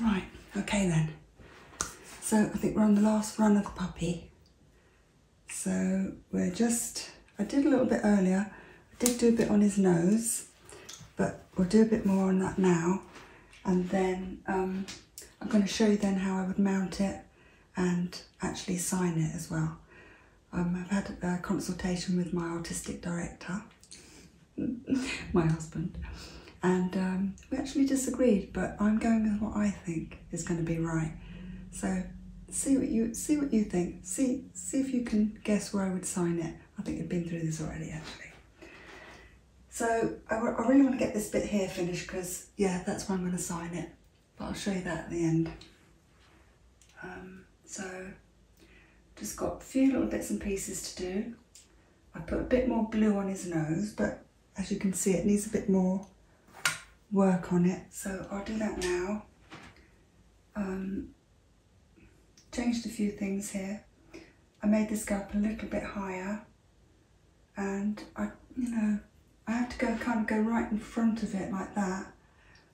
Right, okay then. So I think we're on the last run of the puppy. So we're just, I did a little bit earlier. I did do a bit on his nose, but we'll do a bit more on that now. And then um, I'm going to show you then how I would mount it and actually sign it as well. Um, I've had a consultation with my artistic director my husband, and um, we actually disagreed. But I'm going with what I think is going to be right. So see what you see what you think. See see if you can guess where I would sign it. I think you've been through this already, actually. So I, really want to get this bit here finished because yeah, that's where I'm going to sign it. But I'll show you that at the end. Um, so just got a few little bits and pieces to do. I put a bit more blue on his nose, but as you can see, it needs a bit more work on it. So I'll do that now. Um, changed a few things here. I made this go up a little bit higher and I, you know, I have to go kind of go right in front of it like that,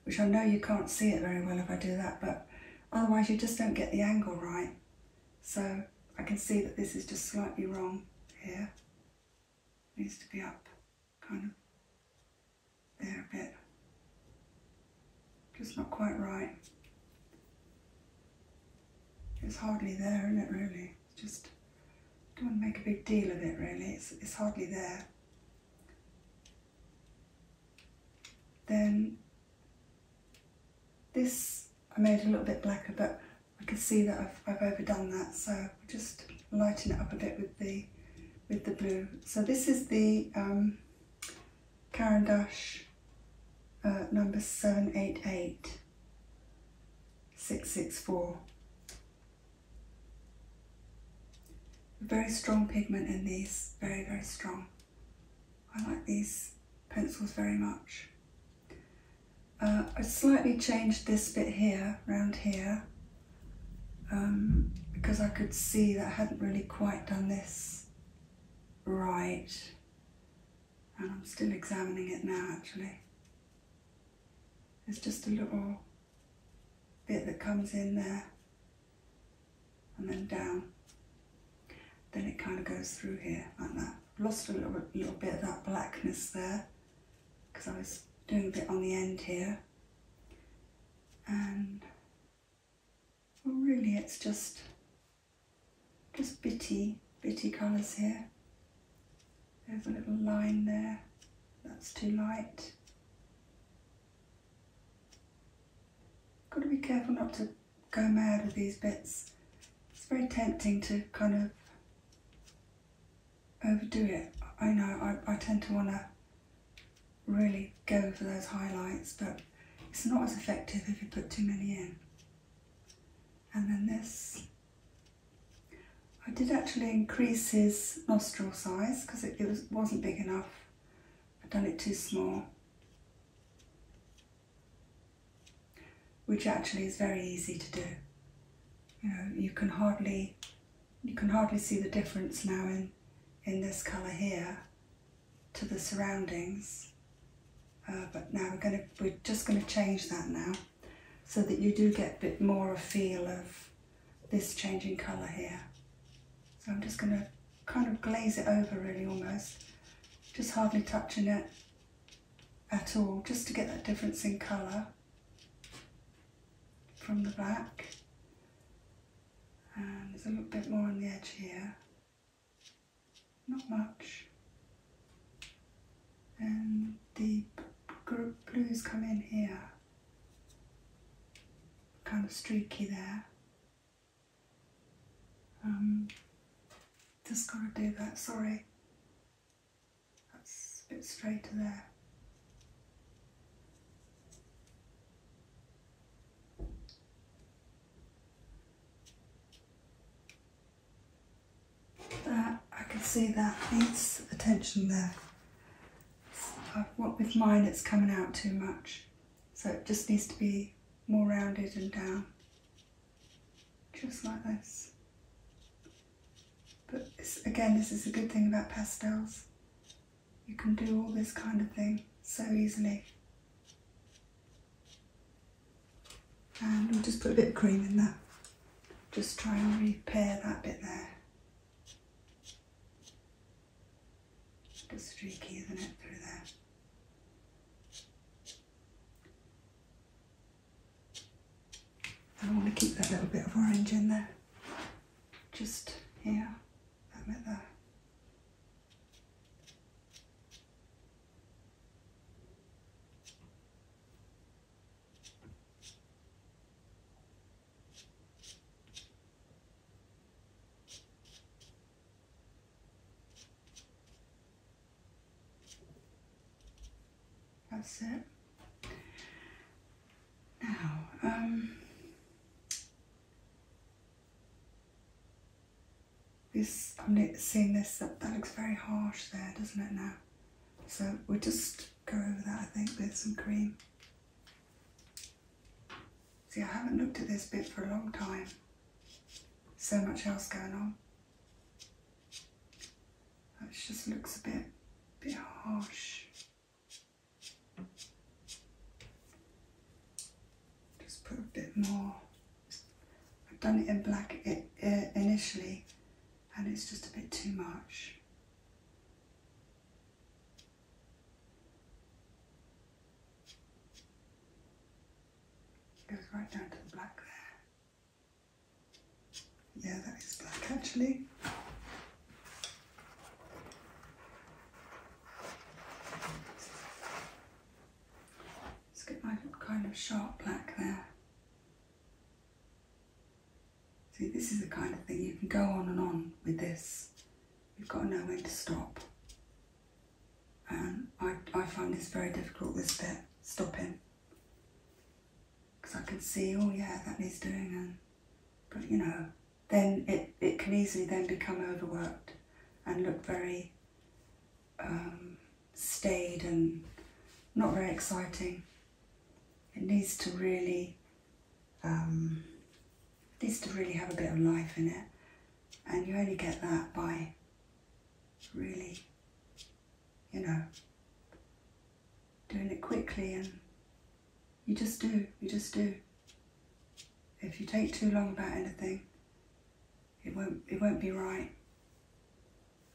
which I know you can't see it very well if I do that, but Otherwise you just don't get the angle right. So I can see that this is just slightly wrong here. It needs to be up kind of there a bit. Just not quite right. It's hardly there, isn't it really? just don't make a big deal of it really. It's, it's hardly there. Then this I made a little bit blacker, but I can see that I've, overdone that, so we'll just lighten it up a bit with the with the blue. So this is the um, Caran d'Ache uh, number 788664. Very strong pigment in these, very, very strong. I like these pencils very much. Uh, I slightly changed this bit here, round here, um, because I could see that I hadn't really quite done this right. And I'm still examining it now actually. it's just a little bit that comes in there and then down. Then it kind of goes through here like that. lost a little, bit of that blackness there because I was doing a bit on the end here. And really it's just, just bitty, bitty colours here. There's a little line there, that's too light. Got to be careful not to go mad with these bits. It's very tempting to kind of overdo it. I know I, I tend to want to really go for those highlights, but it's not as effective if you put too many in. And then this, I did actually increase his nostril size because it, was, wasn't big enough. I'd done it too small which actually is very easy to do. You know, you can hardly you can hardly see the difference now in in this colour here to the surroundings. Uh, but now we're gonna we're just gonna change that now so that you do get a bit more a feel of this changing colour here. So I'm just gonna kind of glaze it over really almost. Just hardly touching it at all, just to get that difference in colour from the back. And there's a little bit more on the edge here. Not much. And the blues come in here. Kind of streaky there just gotta do that, sorry. That's a bit straighter there. I can see that needs attention there. Uh, what with mine, it's coming out too much. So it just needs to be more rounded and down, just like this. But again, this is a good thing about pastels. You can do all this kind of thing so easily. And we'll just put a bit of cream in that. Just try and repair that bit there. It's a streaky, isn't it, through there? I want to keep that little bit of orange in there. Just here, that there. That's it. Now, um, this, I'm seeing this, that, that looks very harsh there, doesn't it now? So we'll just go over that, I think, with some cream. See, I haven't looked at this bit for a long time. So much else going on. That just looks a bit, bit harsh. Just put a bit more. I've done it in black initially and it's just a bit too much. It goes right down to the black there. Yeah, that is black actually. Let's get my kind of sharp black there. See, this is the kind of thing you can go on and on with this. You've got to when to stop. And um, I, I find this very difficult, this bit, stopping. Because I can see, oh yeah, that needs doing, but you know, then it, it can easily then become overworked and look very um, staid and not very exciting. It needs to really um, it needs to really have a bit of life in it. And you only get that by really, you know, doing it quickly and you just do, you just do. If you take too long about anything, it won't it won't be right.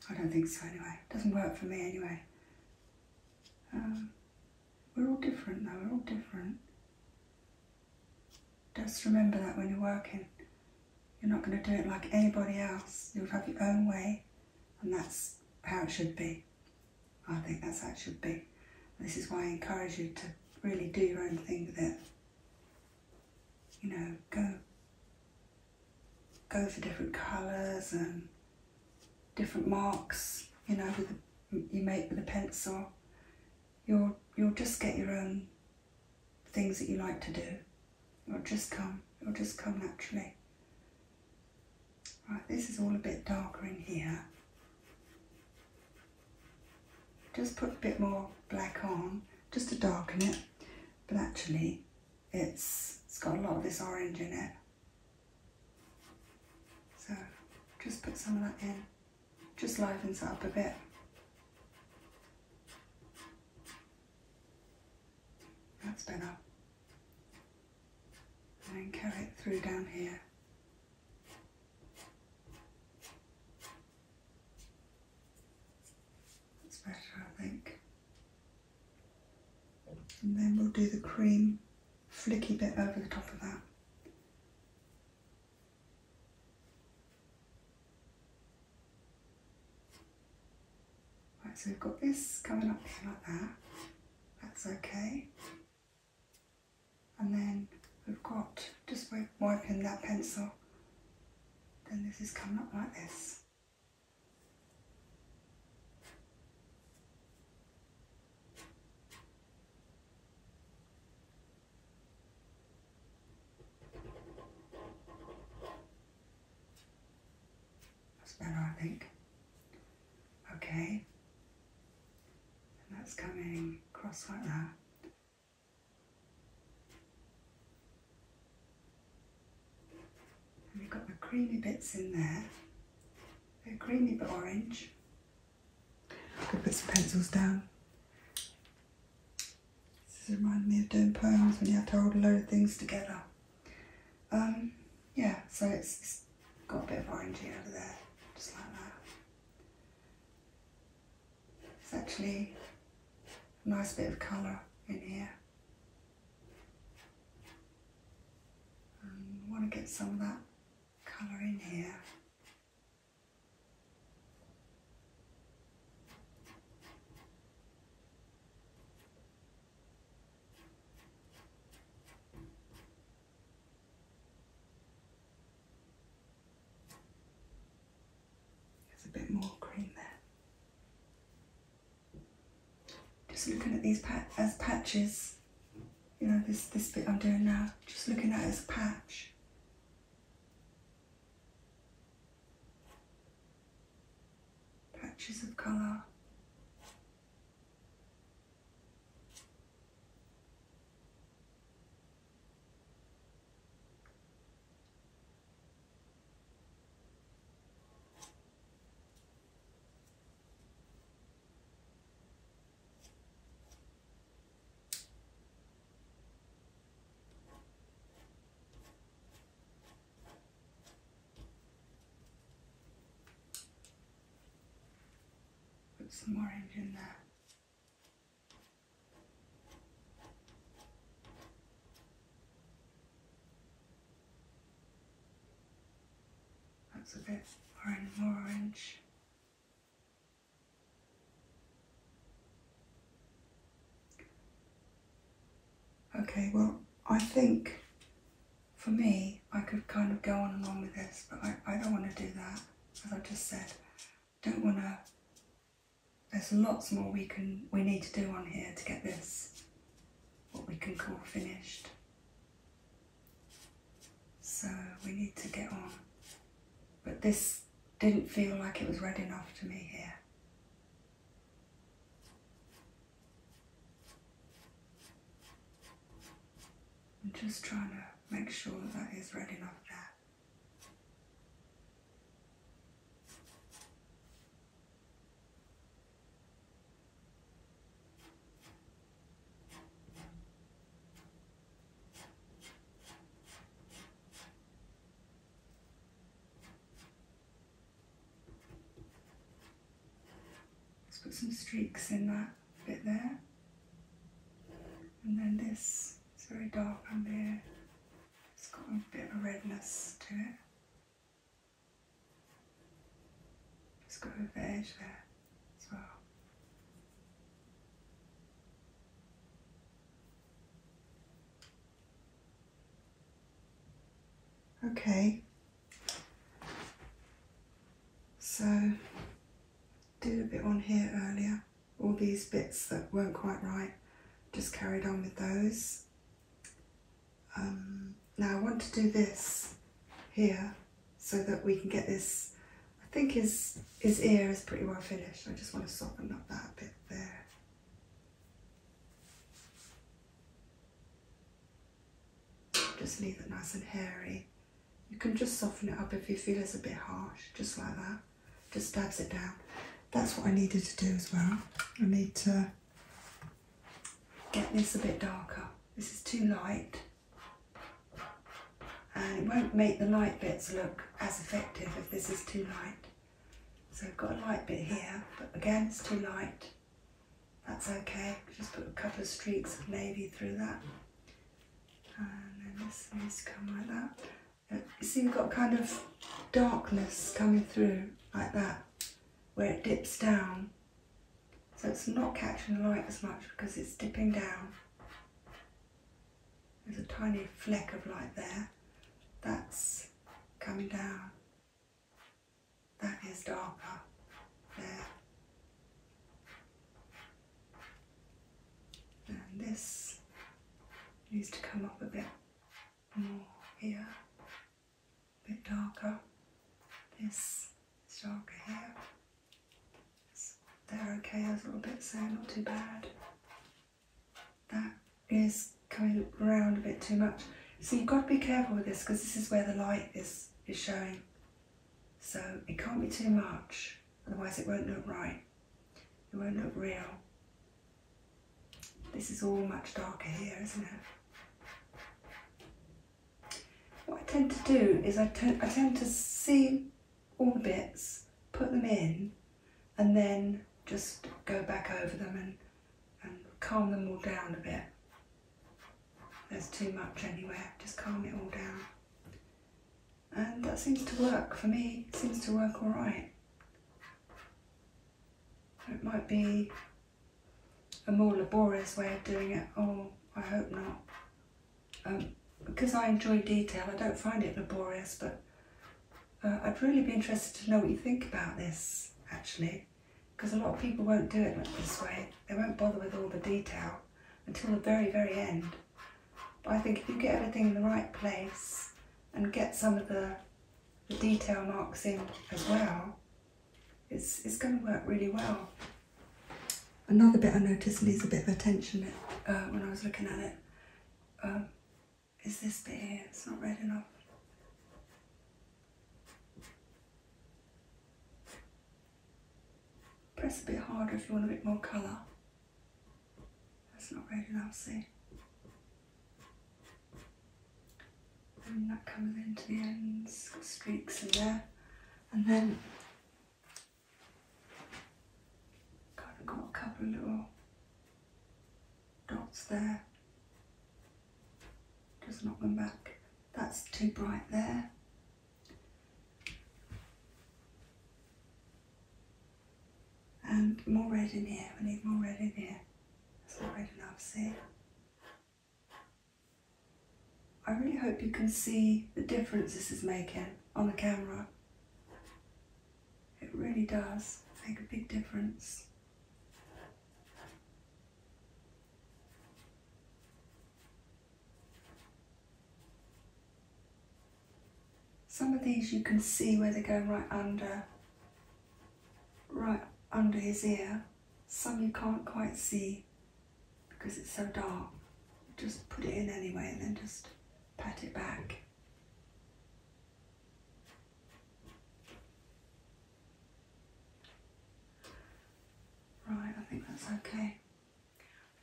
I don't think so anyway. It doesn't work for me anyway. Um, we're all different though, we're all different. Just remember that when you're working. You're not going to do it like anybody else. You'll have your own way, and that's how it should be. I think that's how it should be. This is why I encourage you to really do your own thing with You know, go go for different colours and different marks, you know, with you make with a pencil. You'll, you'll just get your own things that you like to do. It'll just come. It'll just come naturally. Right, this is all a bit darker in here. Just put a bit more black on, just to darken it. But actually, it's, it's got a lot of this orange in it. So, just put some of that in just livens it up a bit. That's better. And then carry it through down here. That's better, I think. And then we'll do the cream flicky bit over the top of that. Right, so we've got this coming up here like that. That's okay. And then we've got, just by wiping that pencil, then this is coming up like this. That's better, I think. Okay. And that's coming across like that. And we've got the creamy bits in there. They're creamy but orange. I'm put some pencils down. This is reminding me of doing poems when you have to hold a load of things together. Um, yeah, so it's got a bit of orangey over there, just like that. It's actually a nice bit of colour in here. I um, want to get some of that colour in here. There's a bit more cream there. Just looking at these as patches. You know, this, this bit I'm doing now, just looking at it as a patch patches of colour. Put some orange in there. That's a bit orange, more orange. Okay, well, I think for me, I could kind of go on and on with this, but I, I don't want to do that, as I just said. Don't want to. There's lots more we can we need to do on here to get this what we can call finished. So we need to get on. But this didn't feel like it was read enough to me here. I'm just trying to make sure that, that is read enough there. It's got some streaks in that bit there. And then this is very dark under here. It's got a bit of a redness to it. It's got a bit of edge there as well. Okay, so did a bit on here earlier, all these bits that weren't quite right, just carried on with those. Um, now I want to do this here so that we can get this I think his, his ear is pretty well finished. I just want to soften up that bit there. Just leave it nice and hairy. You can just soften it up if you feel it's a bit harsh, just like that. Just dabs it down. That's what I needed to do as well. I need to get this a bit darker. This is too light and it won't make the light bits look as effective if this is too light. So I've got a light bit here, but again it's too light. That's okay, just put a couple of streaks of navy through that. And then this needs to come like that. Uh, you see we've got kind of darkness coming through like that, where it dips down. So it's not catching the light as much because it's dipping down. There's a tiny fleck of light there. That's coming down. That is darker there. And this needs to come up a bit more here, a bit darker. This is darker here they're okay, a little bit sad. not too bad. That is coming round a bit too much. So you've got to be careful with this because this is where the light is, is showing. So it can't be too much, otherwise it won't look right. It won't look real. This is all much darker here, isn't it? What I tend to do is I, I tend to see all the bits, put them in, and then just go back over them and, and calm them all down a bit. There's too much anywhere, just calm it all down. And that seems to work, for me, seems to work alright. It might be a more laborious way of doing it, or oh, I hope not because um, I enjoy detail, I don't find it laborious, but uh, I'd really be interested to know what you think about this, actually, because a lot of people won't do it this way. They won't bother with all the detail until the very, very end. But I think if you get everything in the right place and get some of the, detail marks in as well, it's, it's going to work really well. Another bit I noticed needs a bit of attention uh, when I was looking at it Oh, is this bit It's not red enough. Press a bit harder if you want a bit more colour. That's not red enough, see? And that comes into the ends, got streaks in there. And then Kind of got a couple of little dots there. Just knock them back. That's too bright there. And more red in here. We need more red in here. That's not red enough, see? I really hope you can see the difference this is making on the camera. It really does make a big difference. Some of these you can see where they're going right under, right under his ear. Some you can't quite see because it's so dark. Just put it in anyway and then just pat it back. Right, I think that's okay. I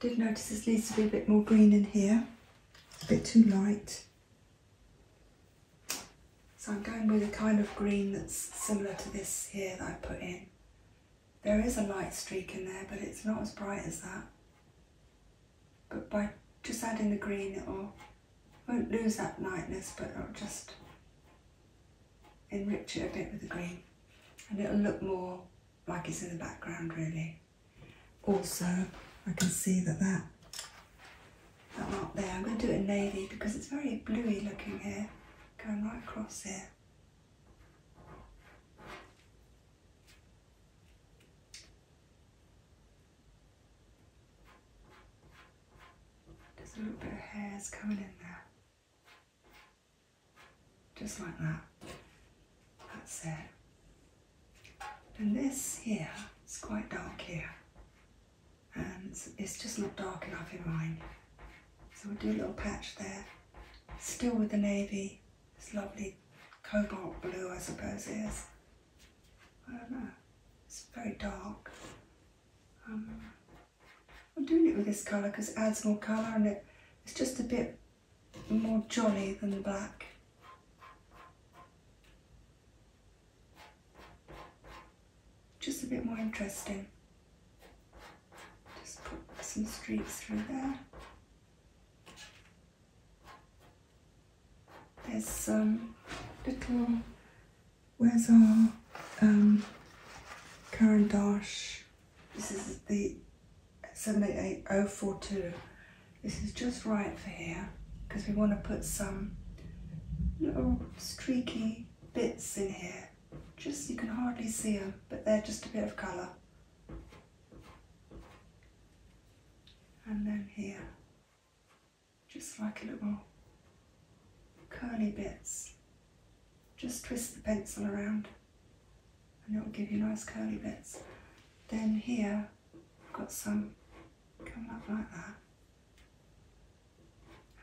did notice this needs to be a bit more green in here. a bit too light. So I'm going with a kind of green that's similar to this here that I put in. There is a light streak in there, but it's not as bright as that but by just adding the green it will won't lose that lightness but it'll just enrich it a bit with the green and it'll look more like it's in the background really. Also I can see that that, that mark there, I'm going to do it in navy because it's very bluey looking here, going right across here. There's a little bit of hairs coming in there. Just like that. That's it. And this here is quite dark here. And it's, just not dark enough in mine. So we'll do a little patch there. Still with the navy, this lovely cobalt blue, I suppose it is. I don't know. It's very dark. Um, I'm doing it with this colour because it adds more colour and it's just a bit more jolly than the black. Just a bit more interesting. Just put some streaks through there. There's some little where's our um, Karen Dash. This is the 78042. This is just right for here because we want to put some little streaky bits in here. Just you can hardly see them, but they're just a bit of colour and then here, just like little curly bits. Just twist the pencil around and it'll give you nice curly bits. Then here, I've got some coming up like that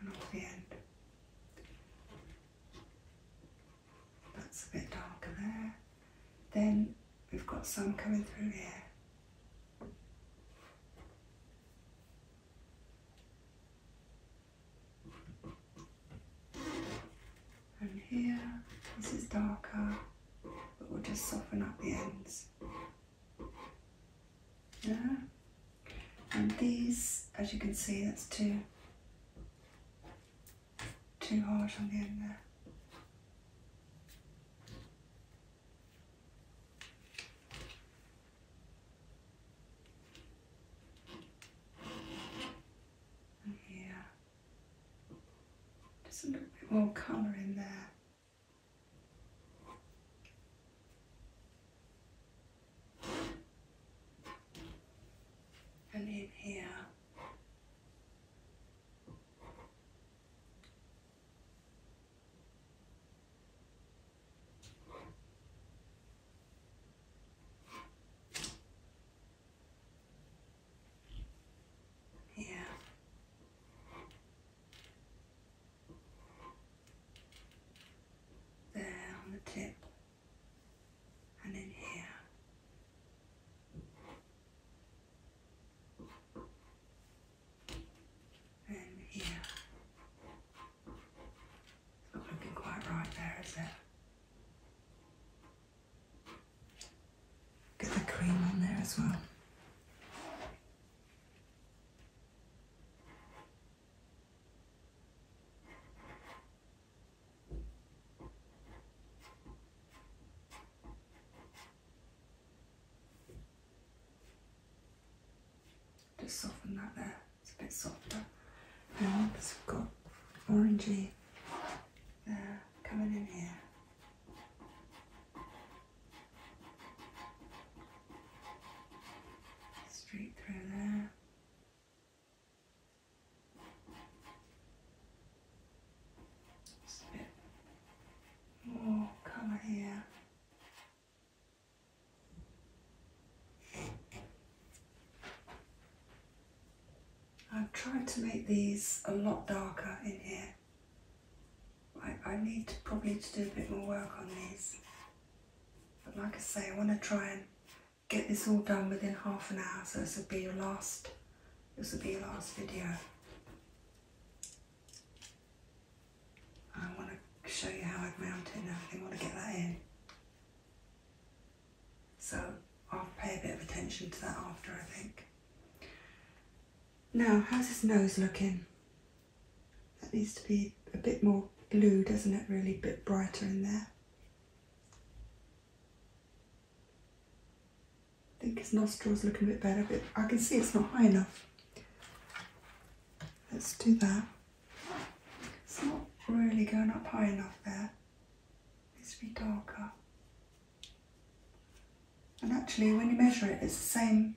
and off the end. That's a bit darker there. Then we've got some coming through here. And here, this is darker, but we'll just soften up the ends. Yeah. And these, as you can see, that's two two holes on the end there. And here, just a little bit more colour in there. And in here, yeah. There on the tip and in here. And here. not looking quite right there, is it? Get the cream on there as well. Just soften that there, it's a bit softer. And once we've got orangey there uh, coming in here. Straight through there. Oh, come here. I've tried to make these a lot darker in here. I, I need probably to do a bit more work on these. But like I say, I want to try and get this all done within half an hour so this will be your last this will be the last video. I want to show you how I've mounted and everything, I want to get that in. So I'll pay a bit of attention to that after, I think. Now, how's his nose looking? That needs to be a bit more blue, doesn't it, really? A bit brighter in there. I think his nostril's looking a bit better, but I can see it's not high enough. Let's do that. It's not really going up high enough there. It needs to be darker. And actually, when you measure it, it's the same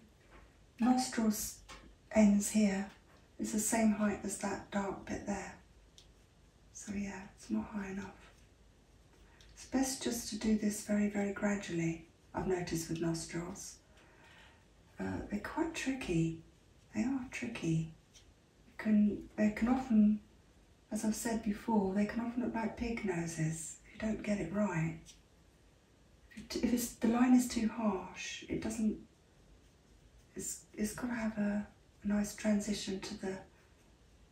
nostrils ends here. It's the same height as that dark bit there. So yeah, it's not high enough. It's best just to do this very, very gradually, I've noticed with nostrils. Uh, they're quite tricky. They are tricky. They can, they can often, as I've said before, they can often look like pig noses if you don't get it right. If, the line is too harsh, it doesn't, it's, it's got to have a, nice transition to the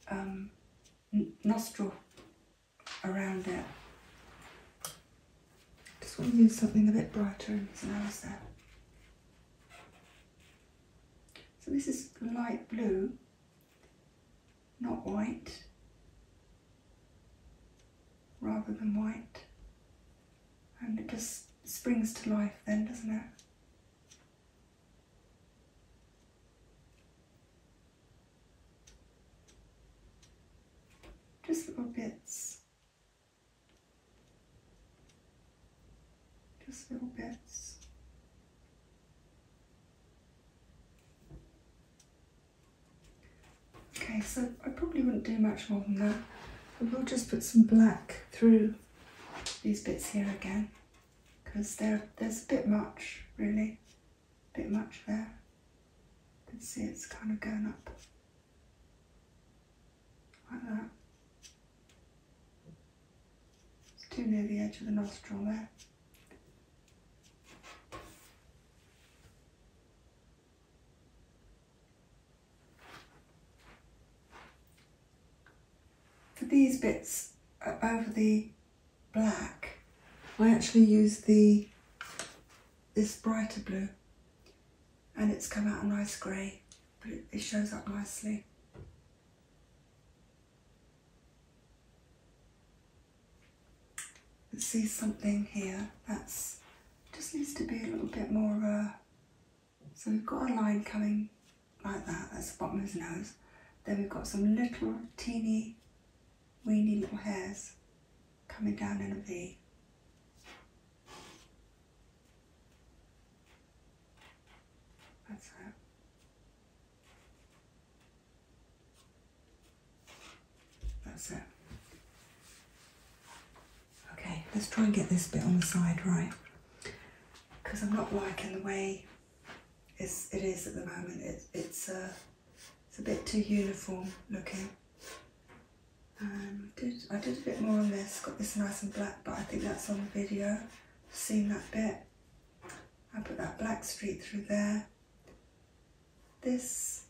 um, nostril around it. Just want to use something a bit brighter in his nose there. So this is light blue, not white, rather than white. And it just springs to life then, doesn't it? Just little bits. Just little bits. Okay, so I probably wouldn't do much more than that. we will just put some black through these bits here again because there's a bit much really, a bit much there. You can see it's kind of going up like that. It's too near the edge of the nostril there. For these bits over the black. I actually use the this brighter blue and it's come out a nice grey but it, shows up nicely. see something here that's just needs to be a little bit more of a so we've got a line coming like that, that's the bottom of his nose. Then we've got some little teeny see windy little hairs coming down in a V. That's it. That's it. Okay, let's try and get this bit on the side right. Because I'm not liking the way it's, at the moment. It, it's, uh, it's a bit too uniform looking. Um, I did, I did a bit more on this, got this nice and black, but I think that's on the video. seen that bit. I put that black streak through there. This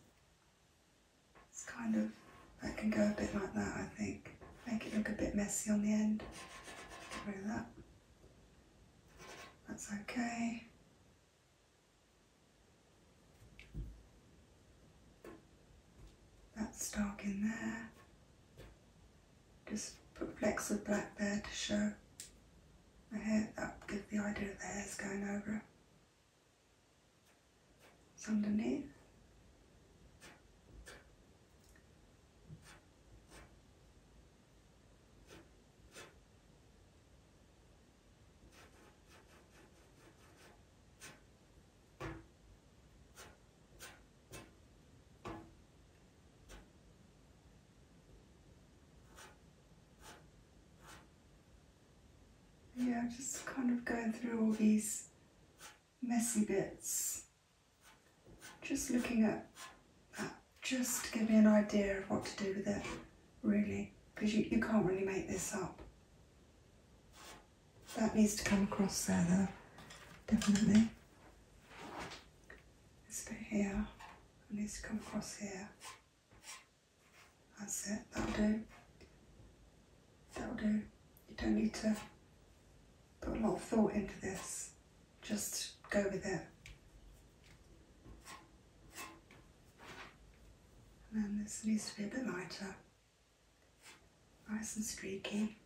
is kind of, that can go a bit like that, I think. Make it look a bit messy on the end. Get that. That's okay. That's dark in there. Just put a flecks of black there to show I hope That gives the idea of the hair's going over. It's underneath. Yeah, just kind of going through all these messy bits. Just looking at that just to give me an idea of what to do with it, really, because you, you can't really make this up. That needs to come across there, though, definitely. This bit here, it needs to come across here. That's it, that'll do. That'll do. You don't need to put a lot of thought into this just go with it. And this needs to be a bit lighter, nice and streaky.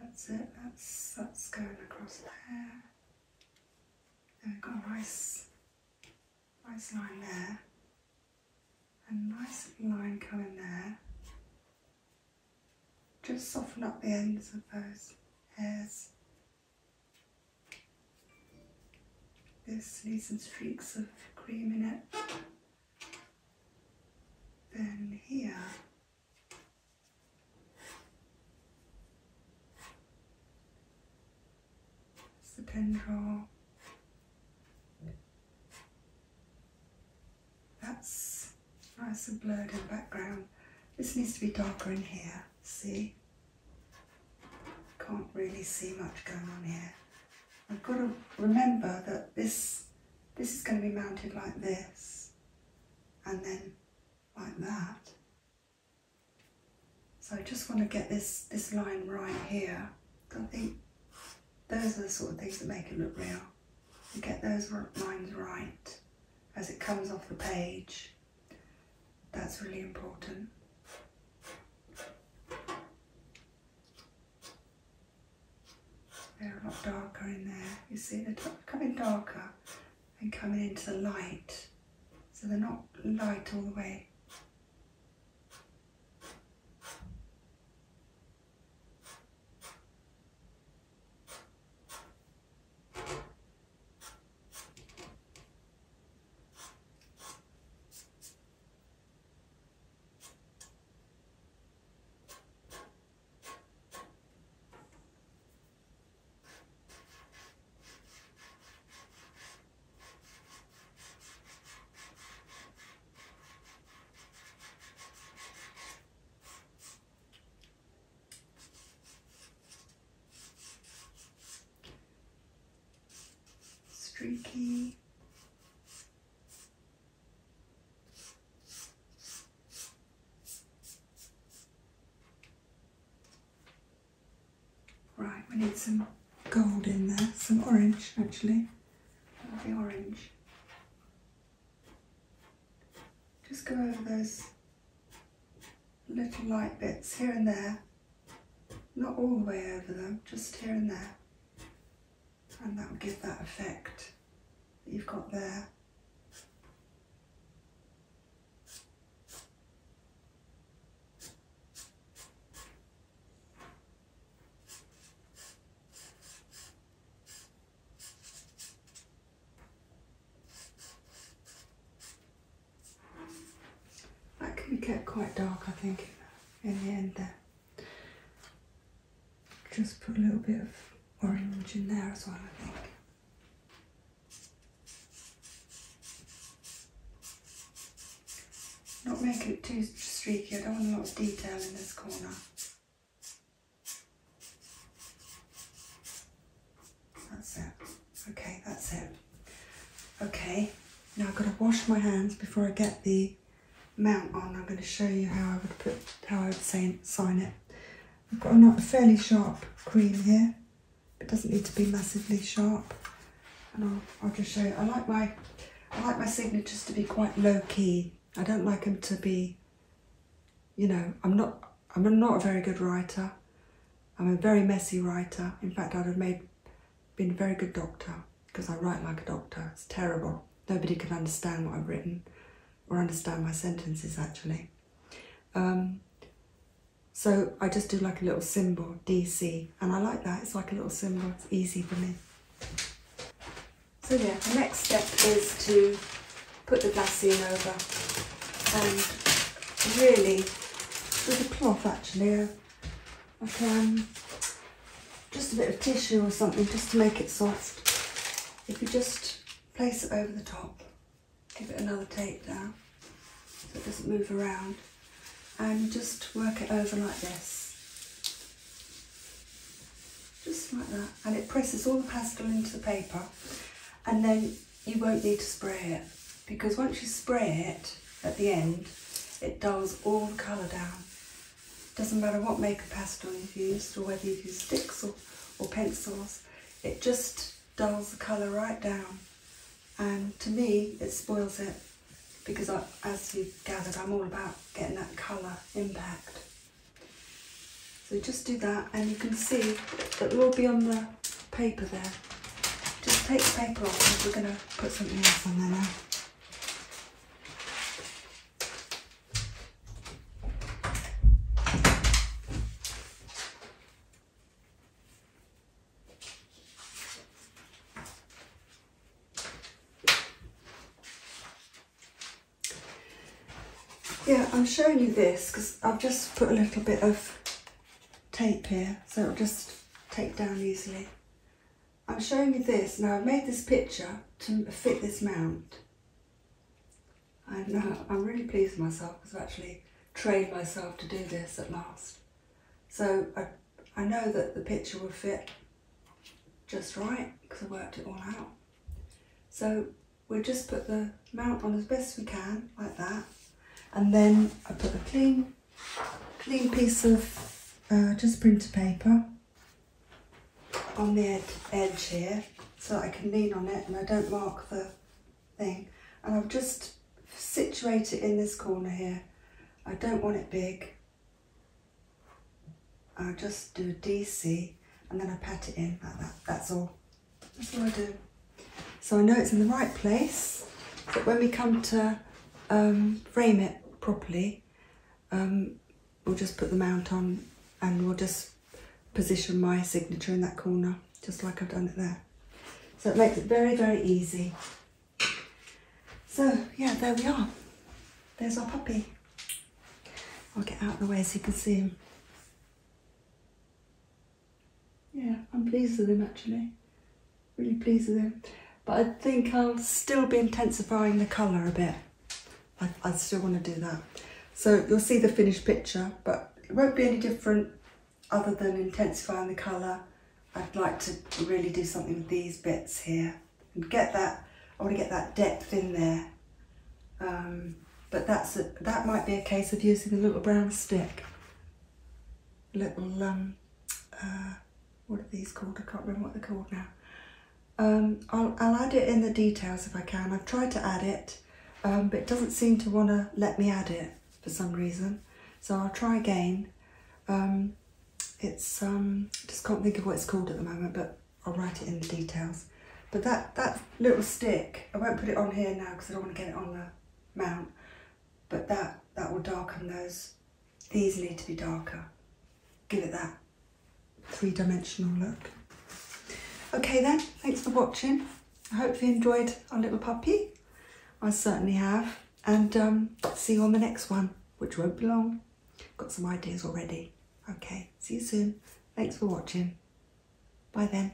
That's it, that's, that's going across there. There we've got a nice, nice line there. A nice line coming there. Just soften up the ends of those hairs. This needs some streaks of cream in it. Then here, it's the pen That's nice and blurred in the background. This needs to be darker in here, see? Can't really see much going on here. I've got to remember that this, this is going to be mounted like this and then like that. So I just want to get this, this line right here. I think those are the sort of things that make it look real. You get those lines right as it comes off the page. That's really important. They're a lot darker in there. You see, they're coming darker and coming into the light. So they're not light all the way streaky Right, we need some gold in there, some orange actually. That'll be orange. Just go over those little light bits here and there. Not all the way over them, just here and there. And that'll give that effect that you've got there. That can kept quite dark I think in the end there. Just put a little bit of orange in there as well I think. Not make it too streaky, I don't want a lot of detail in this corner. That's it. Okay, that's it. Okay, now I've got to wash my hands before I get the mount on. I'm going to show you how I would put, how I would sign it. I've got a fairly sharp cream here. It doesn't need to be massively sharp. And I'll, I'll just show you. I like my I like my signatures to be quite low key. I don't like them to be, you know, I'm not I'm not a very good writer. I'm a very messy writer. In fact, I'd have made been a very good doctor because I write like a doctor. It's terrible. Nobody can understand what I've written or understand my sentences actually. Um, so I just do like a little symbol, DC, and I like that. It's like a little symbol, it's easy for me. So yeah, the next step is to put the glass in over and really with a cloth actually, like um, just a bit of tissue or something just to make it soft. If you just place it over the top give it another tape down so it doesn't move around and just work it over like this just like that and it presses all the pastel into the paper and then you won't need to spray it because once you spray it at the end it dulls all the colour down doesn't matter what make makeup pastel you've used or whether you've used sticks or, or pencils it just dulls the colour right down. And to me, it spoils it because I, as you've gathered, I'm all about getting that colour impact. So just do that and you can see that will be on the paper there. Just take the paper off because we're going to put something else on there now. Yeah, I'm showing you this because I've just put a little bit of tape here so it'll just take down easily. I'm showing you this. Now I've made this picture to fit this mount. I'm, uh, I'm really pleased with myself because I've actually trained myself to do this at last. So I, I know that the picture will fit just right because I worked it all out. So we will just put the mount on as best we can, like that. And then I put a clean, clean piece of uh, just printer paper on the edge here so I can lean on it and I don't mark the thing. And I'll just situate it in this corner here. I don't want it big. I'll just do a DC and then I pat it in like that. That's all. That's all I do. So I know it's in the right place, but when we come to um, frame it properly, um, we'll just put the mount on and we'll just position my signature in that corner, just like I've done it there. So it makes it very, very easy. So yeah, there we are. There's our puppy. I'll get out of the way so you can see him. Yeah, I'm pleased with him actually. Really pleased with him. But I think I'll still be intensifying the colour a bit. I, still want to do that. So you'll see the finished picture, but it won't be any different other than intensifying the colour. I'd like to really do something with these bits here and get that, I want to get that depth in there. Um, but that's that might be a case of using a little brown stick. Little, um, uh, what are these called? I can't remember what they're called now. Um, I'll, I'll add it in the details if I can. I've tried to add it um, but it doesn't seem to want to let me add it for some reason. So I'll try again. Um, it's um, just can't think of what it's called at the moment, but I'll write it in the details. But that, that little stick, I won't put it on here now because I don't want to get it on the mount, but that, that will darken those. These need to be darker. Give it that three-dimensional look. Okay then, thanks for watching. I hope you enjoyed our little puppy. I certainly have. And um, see you on the next one, which won't be long. Got some ideas already. Okay, see you soon. Thanks for watching. Bye then.